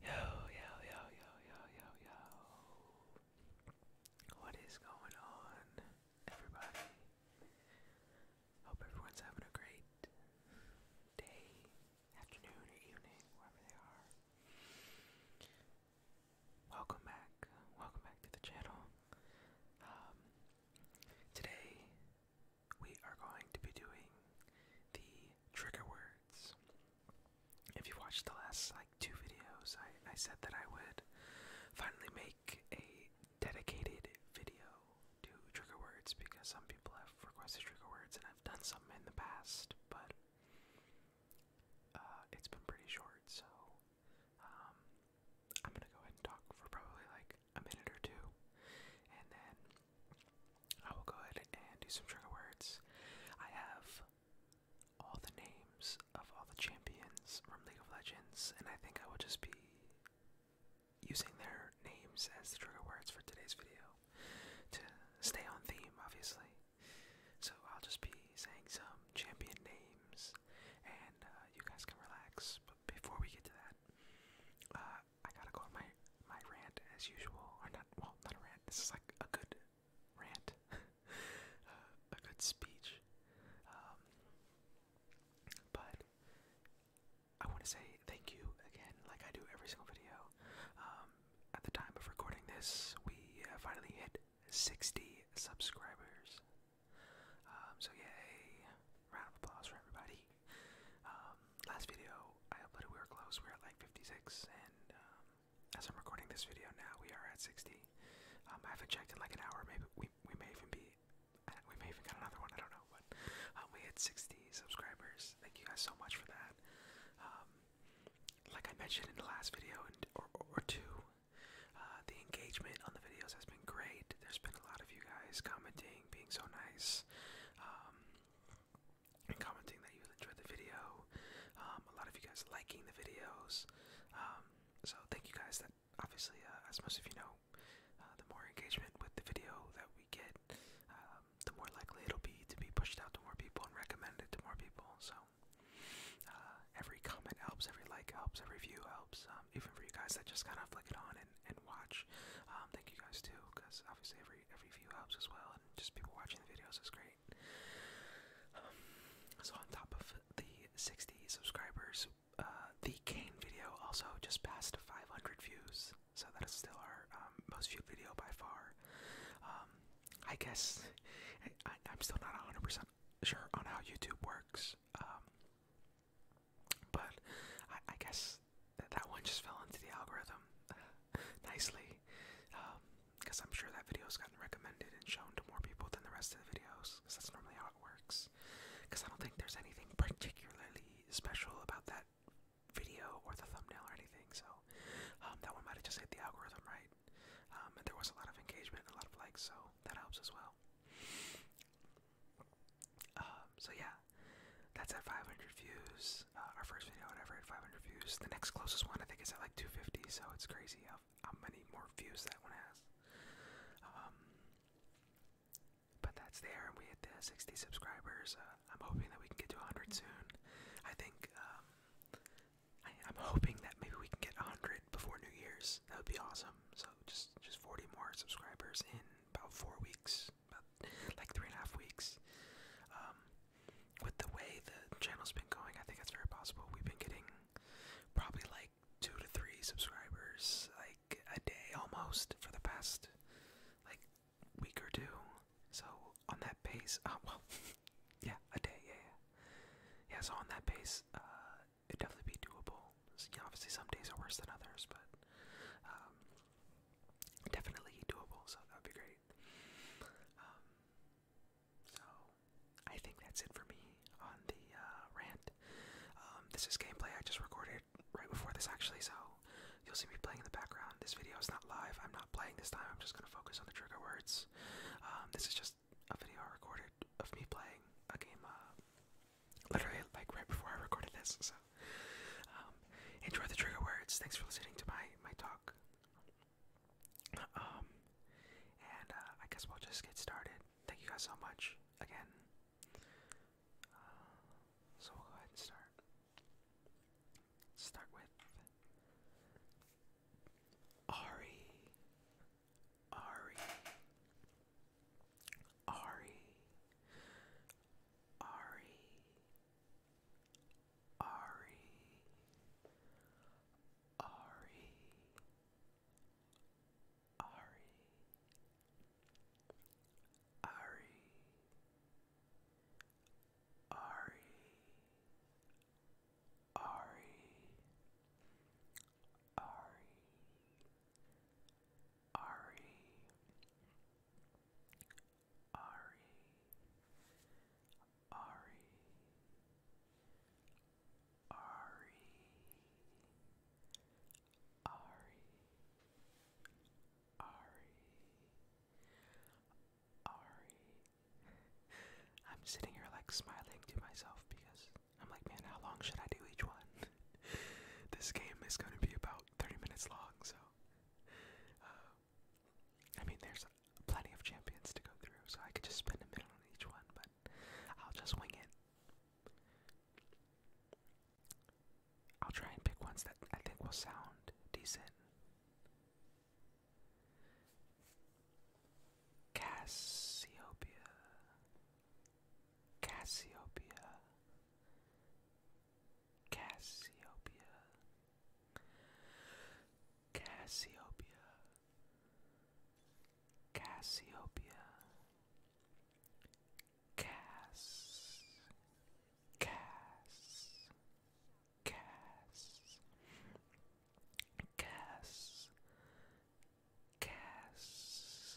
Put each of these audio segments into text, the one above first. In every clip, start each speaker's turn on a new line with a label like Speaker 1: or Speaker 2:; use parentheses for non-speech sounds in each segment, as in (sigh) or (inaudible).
Speaker 1: Yo, yo, yo, yo, yo, yo, yo. What is going on, everybody? Hope everyone's having a great day, afternoon, evening, wherever they are. Welcome back. Welcome back to the channel. Um, today we are going to be doing the trigger words. If you watched the last like two videos, I, I said that I would finally make a dedicated video to trigger words because some people have requested trigger words and I've done some in the past, but uh, it's been pretty short, so um, I'm gonna go ahead and talk for probably like a minute or two, and then I will go ahead and do some trigger words. I have all the names of all the champions from League of Legends, and I think I will just be using their names as the trigger words for today's video to stay on theme, obviously. So I'll just be saying some champion names, and uh, you guys can relax. But before we get to that, uh, I gotta go on my my rant as usual, or not? Well, not a rant. This is like a good rant, (laughs) uh, a good speech. Um, but I want to say thank you again, like I do every single video. Um, at the time of recording this, we finally hit 60 subscribers. Um, so yay! Round of applause for everybody last video I uploaded, we were close. We were at like 56, and um, as I'm recording this video now, we are at 60. Um, I haven't checked in like an hour. Maybe we we may even be, uh, we may even get another one. I don't know, but um, we hit 60 subscribers. Thank you guys so much for that. like I mentioned in the last video and or, or two, uh, the engagement on the videos has been great. There's been a lot of you guys commenting, being so nice and commenting that you enjoyed the video. Um, a lot of you guys liking the videos. Um, so thank you guys. That obviously, uh, as most of you know, uh, the more engagement with the video that we get, um, the more likely it'll be to be pushed out to more people and recommended to more people. So uh, every comment helps, every like helps, every view helps. Um, even for you guys that just kind of flick it on and watch. Um, thank you guys too, because obviously every every view helps as well, and just people watching the videos is great. Um, so on top of the 60 subscribers, uh, the cane video also just passed 500 views, so that is still our um, most viewed video by far. I guess I, am still not 100% sure on how YouTube works. But I, guess that, one just fell into the algorithm uh, nicely. Because um, I'm sure that video has gotten recommended and shown to more people than the rest of the videos. Because that's normally how it works. Because I don't think there's anything particularly special about that video or the thumbnail or anything. So um, that one might have just hit the algorithm right. Um, and there was a lot of engagement and a lot of likes, so that helps as well. Um, so yeah, that's at 500 views. Uh, our first video, whatever, at 500 views. The next closest one, I think, is at like 250. So it's crazy how, how many more views that one has. Um, but that's there, and we hit the 60 subscribers. Uh, I'm hoping that we can get to 100 soon. I think um, I, am hoping that maybe we can get 100 before New Year's. That would be awesome. So just just 40 more subscribers in about four weeks, like three and a half weeks. Um, with the way the channel's been going, I think it's very possible. We've been getting probably like two to three subscribers like a day almost for the past like week or two. So on that pace, uh, (laughs) well, yeah, a day, yeah, yeah. Yeah, so on that pace, uh, it'd definitely be doable. So, obviously, some days are worse than others, but um, definitely doable, so that would be great. Um, so, I think that's it for me on the uh, rant. Um, this is gameplay I just recorded right before this, actually, so you'll see me playing in the background. This video is not live, I'm not playing this time, I'm just going to focus on the trigger words. Um, this is just a video recorded of me playing a game uh, literally like right before I recorded this. So um, enjoy the trigger words. Thanks for listening to my my talk. Um, and uh, I guess we'll just get started. Thank you guys so much again. Uh, so we'll go ahead and start. Start with Ari, Ari, Ari, Ari, Ari, Ari, Ari, Ari, Ari, Ari, Ari, Ari, Ari, Ari, Ari, Ari, Ari, Ari. I'm sitting here like smiling to myself because I'm like, man, how long should I do each one? (laughs) this game is going to be about 30 minutes long, so. Uh, I mean, there's plenty of champions to go through, so I could just spend a minute on each one, but I'll just wing it. I'll try and pick ones that I think will sound decent. Cassiopeia. Cassiopeia, Cassiopeia, Cassiopeia, Cassiopeia, Cass, Cass, Cass, Cass. Cass,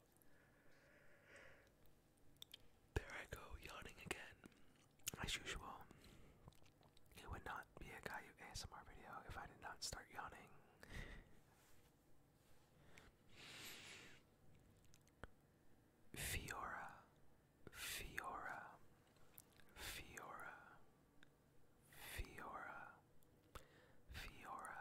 Speaker 1: there I go, yawning again, as usual. It would not be a Caillou ASMR video if I did not start yawning. Fiora, Fiora, Fiora, Fiora, Fiora,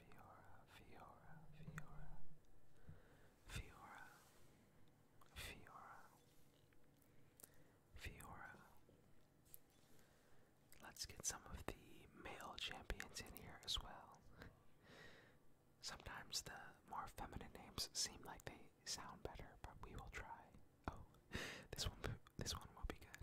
Speaker 1: Fiora, Fiora, Fiora, Fiora, Fiora, Fiora. Let's get some of the male champions in here as well. Sometimes the more feminine names seem like they sound better, but we will try. Oh, this one, this one will be good.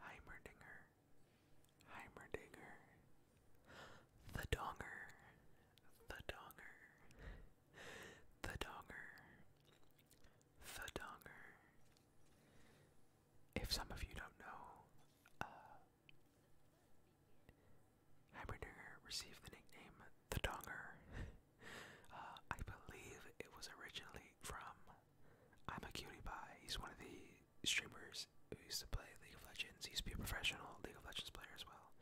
Speaker 1: Heimerdinger, Heimerdinger, the Donger, the Donger, the Donger, the Donger. If some of you don't know, uh, Heimerdinger received the nickname the Donger. Uh, I believe it was originally from I'm a Cutie Pie. He's one of the streamers who used to play League of Legends. used to be a professional League of Legends player as well.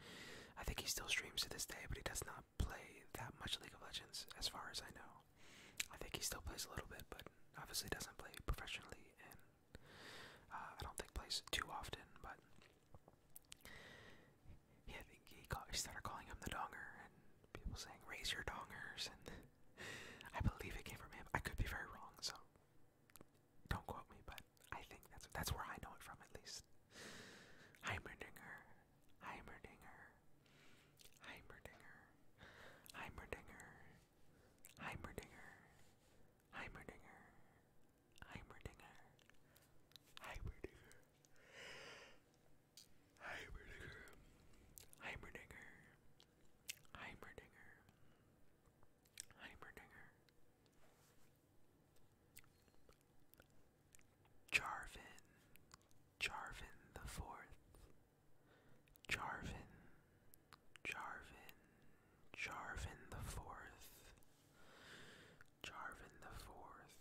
Speaker 1: I think he still streams to this day, but he does not play that much League of Legends, as far as I know. I think he still plays a little bit, but obviously doesn't play professionally, and uh, I don't think plays too often. But yeah, I think he, call, he started calling him the donger, and people saying "raise your dongers" and I believe it came from him. I could be very wrong, so don't quote me, but I think that's that's where I know it from at least. Heimerdinger, Heimerdinger, Heimerdinger, Heimerdinger, Heimerdinger, Heimerdinger, Heimerdinger, Heimerdinger. Heimerdinger, Heimerdinger. Heimerdinger. Jarvin. Jarvin the Fourth. Jarvin. Jarvin. Jarvin the Fourth. Jarvin the Fourth.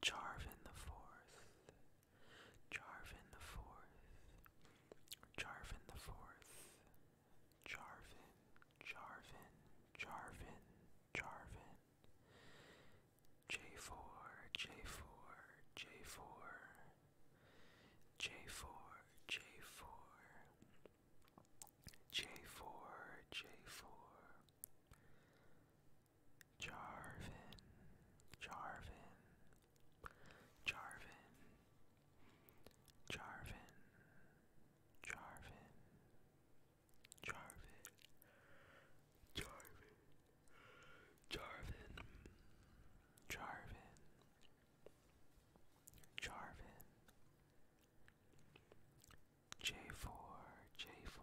Speaker 1: Jarvin the Fourth. Jarvin the Fourth, Jarvin the Fourth, Jarvin, Jarvin, Jarvin, Jarvin. J4, J4, J4, J4, J4, J4, J4, Jarvin, Jarvin, Jarvin, Jarvin, Jarvin, Jarvin, Jarvin, Jarvin, Jarvin, J4, J4,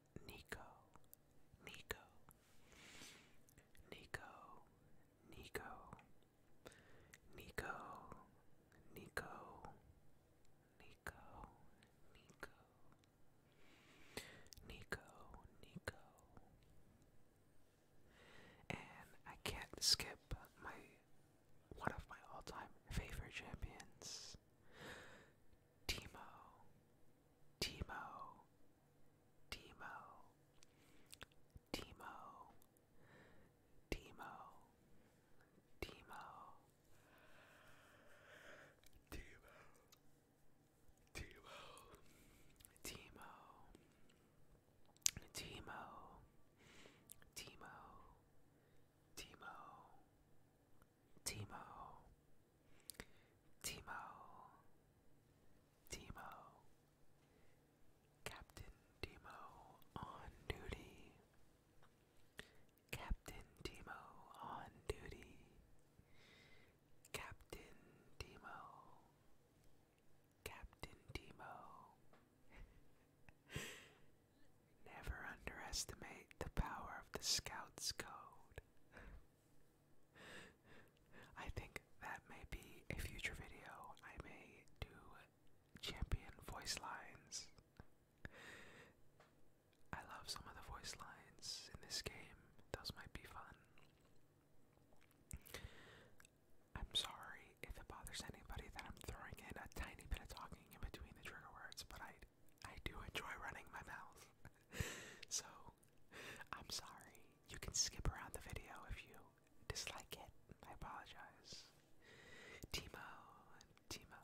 Speaker 1: Nico, Nico, Nico, Nico, Nico, Nico, Nico, Nico, Nico, Nico. And I can't skip my one of my all-time favorite champions, Timo, Timo, Timo, Timo, Timo, Timo, Timo, Timo, Timo, Timo, Timo, Timo, Timo, Timo, Captain Timo on duty, Captain Timo on duty, Captain Timo, Captain Timo. (laughs) Never underestimate the power of the Scout's Code. I think that may be a future video. I may do champion voice lines. I love some of the voice lines in this game, those might be fun. I'm sorry if it bothers anybody that I'm throwing in a tiny bit of talking in between the trigger words, but I I do enjoy running my mouth. (laughs) so, I'm sorry. You can skip around the video if you dislike it. I apologize. Timo, Timo,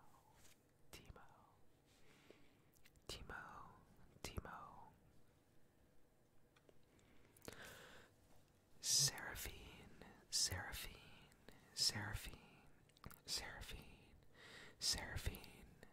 Speaker 1: Timo, Timo, Timo. Seraphine, Seraphine, Seraphine, Seraphine, Seraphine,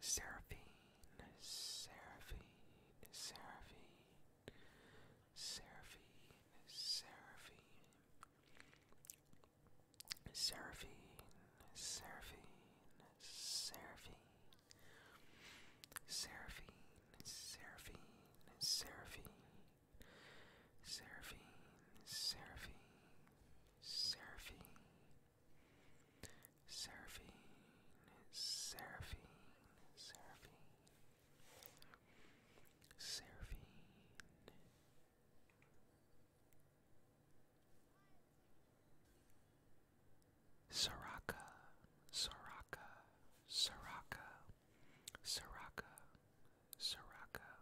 Speaker 1: Seraphine, Seraphine, Seraphine, Seraphine, Seraphine, Seraphine, Seraphine, Seraphine, Seraphine, Seraphine, Seraphine, Seraphine, Seraphine. Seraphine, Seraphine, Seraphine, Seraphine, Seraphine. Soraka, Soraka, Soraka, Soraka, Soraka,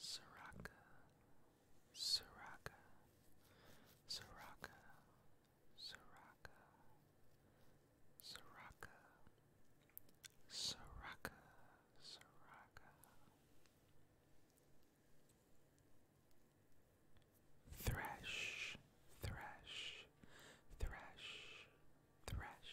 Speaker 1: Soraka, Soraka, Soraka, Soraka, Soraka, Soraka, Soraka. Thresh, thresh, thresh, thresh,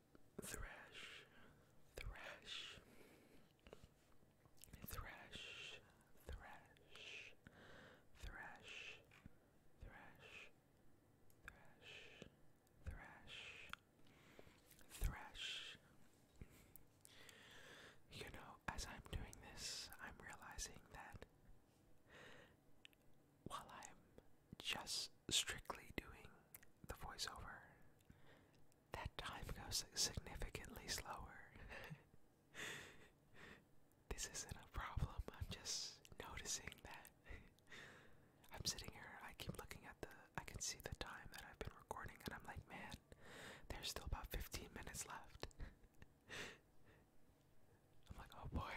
Speaker 1: Thrash, thrash, thrash, thrash, thrash, thrash, thrash, thrash, You know, as I'm doing this, I'm realizing that while I'm just strictly doing the voiceover. That time goes significantly slower. (laughs) this isn't a problem, I'm just noticing that. (laughs) I'm sitting here, I keep looking at the, I can see the time that I've been recording, and I'm like, man, there's still about 15 minutes left. (laughs) I'm like, oh boy,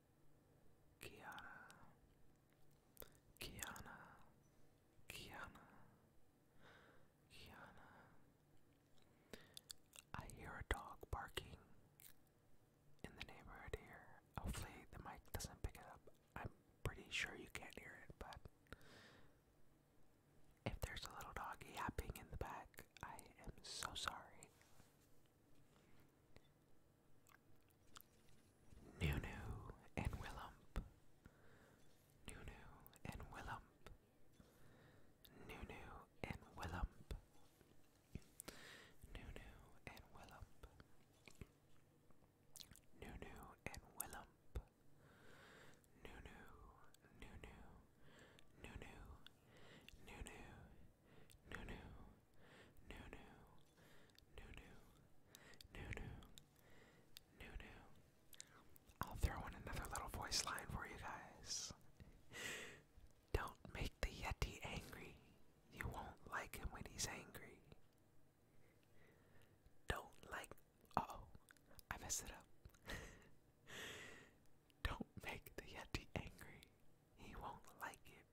Speaker 1: Kiana, Kiana, Kiana, Kiana. I hear a dog barking in the neighborhood here. Hopefully, the mic doesn't pick it up. I'm pretty sure you can't hear it, but if there's a little doggy yapping in the back, I am so sorry. Nunu and Willump. Nunu and Willump. Nunu and Willump. Nunu and Willump. Nunu and Willump. Nunu, Nunu, Nunu, Nunu, Nunu, Nunu, Nunu, Nunu, Nunu. I'll throw in another little voice line for you guys. Don't make the Yeti angry. You won't like him when he's angry. Don't like. oh, I messed it up. (laughs) Don't make the Yeti angry. He won't like it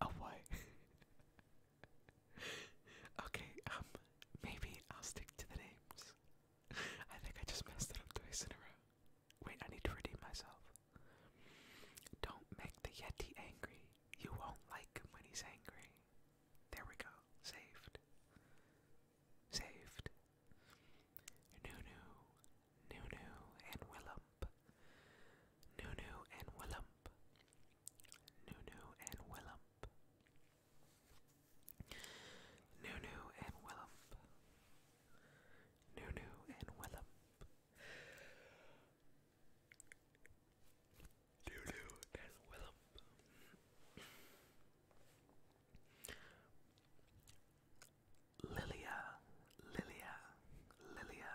Speaker 1: Oh, what? (laughs) okay, um, maybe I'll stick to the names. I think I just messed it up twice in a row. Wait, I need to redeem myself. Don't make the Yeti angry. You won't like when he's angry. There we go. Saved. Saved. Nunu, Nunu, and Willow Willump. Nunu and Willump. Nunu and Willump. Nunu and Willump. Nunu and Willump. Nunu and Willump. Lilia, Lilia, Lilia,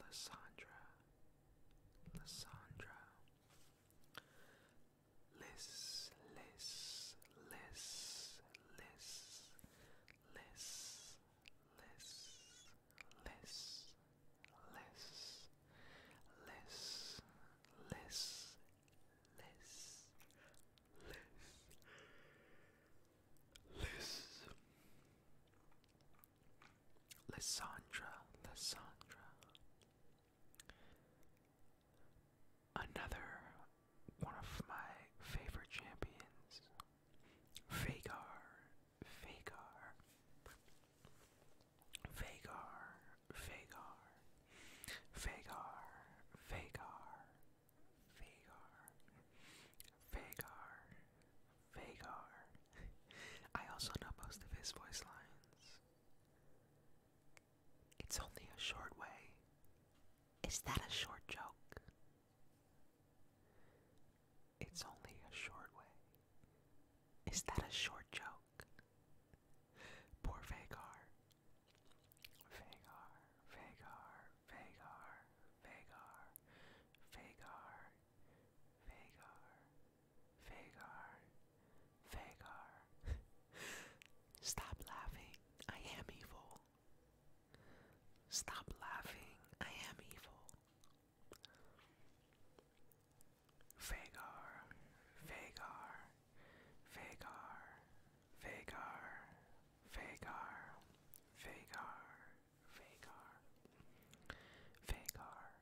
Speaker 1: Lissandra, Lissandra, Liss, Liss, Liss, Liss, Liss, Liss, Liss, Liss, Liss, Liss, Liss, Liss. Liz. Lissandra, Lissandra. Another one of my favorite champions, Vagar, Vagar, Vagar, Vagar, Vagar, Vagar, Vagar, Vagar. (laughs) I also know most of his voice lines. It's only a short way. Is that a short joke? It's only a short way. Is that a short joke? Poor Vagar. Vagar, Vagar, Vagar, Vagar, Vagar, Vagar, Vagar, Vagar. (laughs) Stop laughing, I am evil. Stop laughing, I am evil. Vagar, Vagar, Vagar, Vagar, Vagar, Vagar, Vagar, Vagar.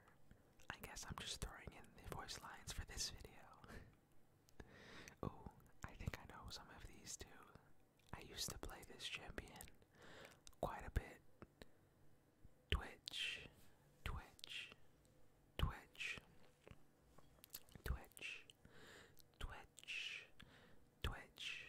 Speaker 1: I guess I'm just throwing in the voice lines for this video. (laughs) oh, I think I know some of these too. I used to play this champion quite a bit. Twitch, Twitch, Twitch, Twitch, Twitch, Twitch,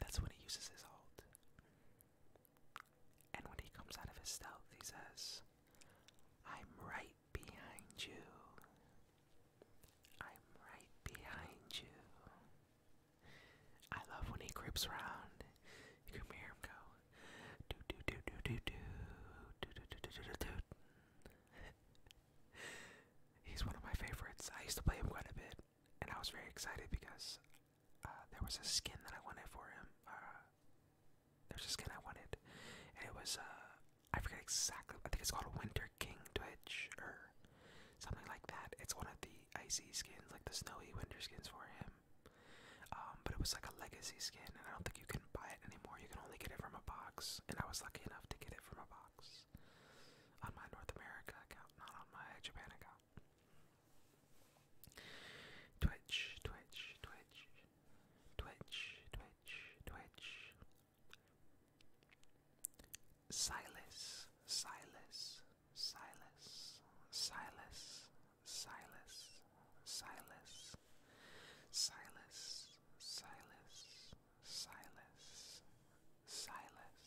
Speaker 1: That's when he uses his ult. And when he comes out of his stealth, he says, I'm right behind you. I'm right behind you. I love when he creeps around. You can go. Do do do do do do do do do do do do. He's one of my favorites. I used to play him quite a bit and I was very excited because uh, there was a skin that I wanted for him. Uh, there's a skin I wanted, and it was uh, I forget exactly. I think it's called Winter King Twitch or something like that. It's one of the icy skins, like the snowy winter skins for him. Um, but it was like a legacy skin, and I don't think you can buy it anymore. You can only get it from a box, and I was lucky enough to get it from a box on my North America account, not on my Japan account. Twitch, Twitch, Twitch, Twitch, Twitch, Twitch. Silas, Silas, Silas, Silas, Silas, Silas, Silas, Silas, Silas, Silas,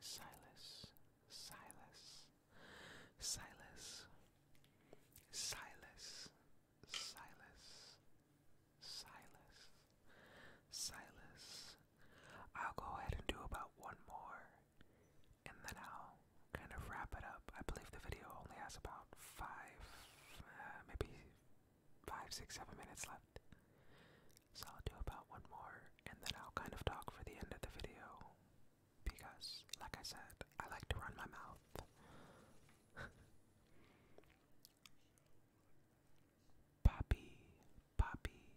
Speaker 1: Silas, Silas, Silas, Silas, Silas, Silas, Silas. I'll go ahead and do about one more, and then I'll kind of wrap it up. I believe the video only has about five, uh, maybe five, six, seven minutes left. So I'll do about one more and then I'll kind of talk for the end of the video because, like I said, I like to run my mouth. (laughs) Poppy, Poppy,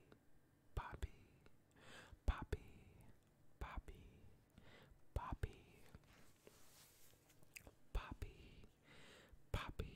Speaker 1: Poppy, Poppy, Poppy, Poppy, Poppy, Poppy,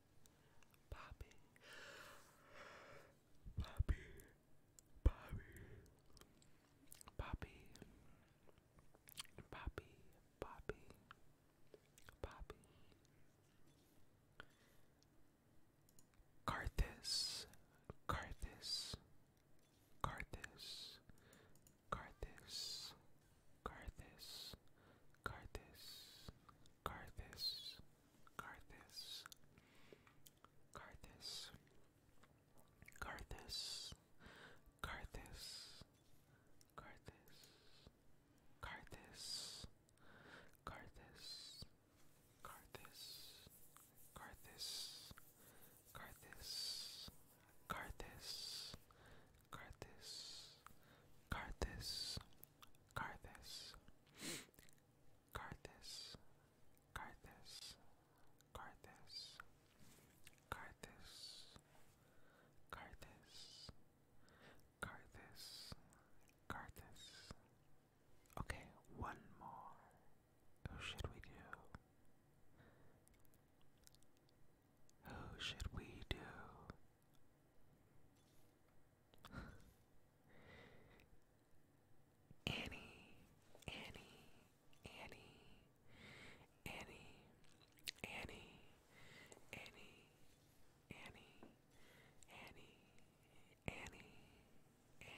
Speaker 1: Bobby, Bobby, Bobby, Bobby, Bobby, Bobby, Bobby. Carthus, Carthus, Carthus, Carthus, Carthus, Carthus, Carthus, Carthus, Carthus, Carthus, Carthus, Carthus, Carthus, Carthus, Carthus, Carthus, Carthus, Carthus, Carthus, Carthus, Carthus, Carthus, Carthus, Carthus, Carthus, Carthus. Okay, one more. Who should we do? Who should we do? Annie, Annie, Annie, Annie, Annie, Annie, Annie, Annie, Annie, Annie, Annie. Annie,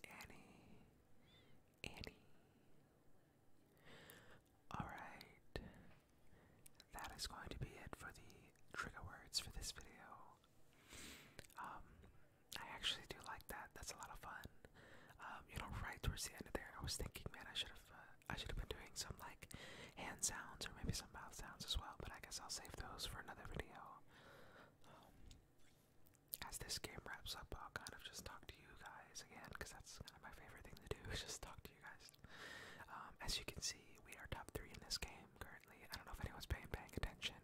Speaker 1: Annie, Annie. Alright, that is going to be it for the trigger words for this video. Um, I actually do like that. That's a lot of fun. Um, you know, right towards the end of there, I was thinking, man, I should have, uh, I should have been doing some like hand sounds or maybe some mouth sounds as well. But I guess I'll save those for another video. Um, as this game wraps up, I'll kind of just talk to you guys again, because that's kind of my favorite thing to do, (laughs) just talk to you guys. Um, as you can see, we are top three in this game currently. I don't know if anyone's paying, paying attention,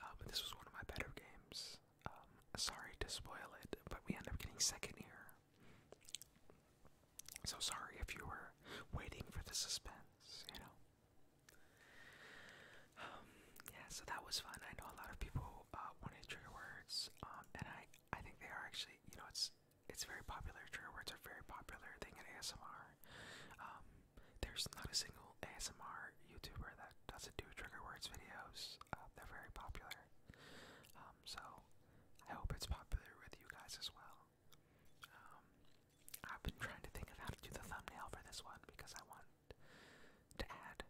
Speaker 1: uh, but this was one of my better games. Um, sorry to spoil it, but we end up getting second here. So sorry if you were waiting for the suspense, you know. Um, yeah, so that was fun. I know a lot of people uh, wanted trigger words, um, and I, I think they are actually, you know, it's it's very popular. Trigger words are very popular thing in ASMR. Um, there's not a single ASMR YouTuber that doesn't do trigger words videos. Uh, they're very popular. Um, so I hope it's popular with you guys as well. Um, I've been trying to think of how to do the thumbnail for this one because I want to add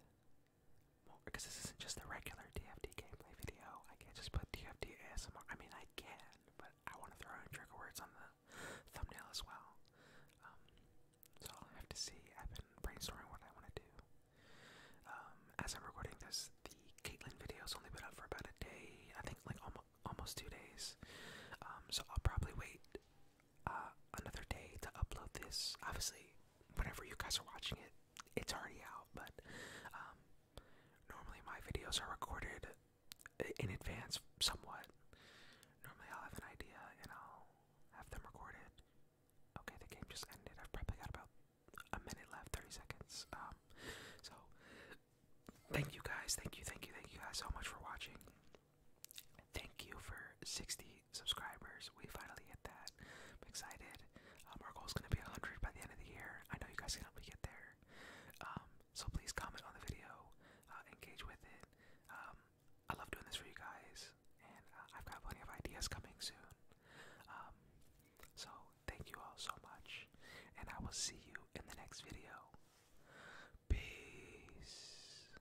Speaker 1: because this isn't just a regular DFD gameplay video. I can't just put DFD ASMR. I mean, I can, but I want to throw in trigger words on the thumbnail as well. Um, so I'll have to see. I've been brainstorming what I want to do. Um, as I'm recording this, the Caitlyn video's only been up for about a day. I think like almost two days. Um, so I'll probably wait uh, another day to upload this. Obviously, whenever you guys are watching it, it's already out. But um, normally my videos are recorded in advance, somewhat. Normally I'll have an idea and I'll have them recorded. Okay, the game just ended. I've probably got about a minute left, 30 seconds. Um, so thank you guys, thank you, thank you, thank you guys so much for watching. Thank you for 60 subscribers. We finally hit that. I'm excited. Um, our goal is going to be 100 by the end of the year. I know you guys can help me get there. Um, so please comment on the video, uh, engage with it. Um, I love doing this for you guys, and uh, I've got plenty of ideas coming soon. so thank you all so much, and I will see you in the next video. Peace.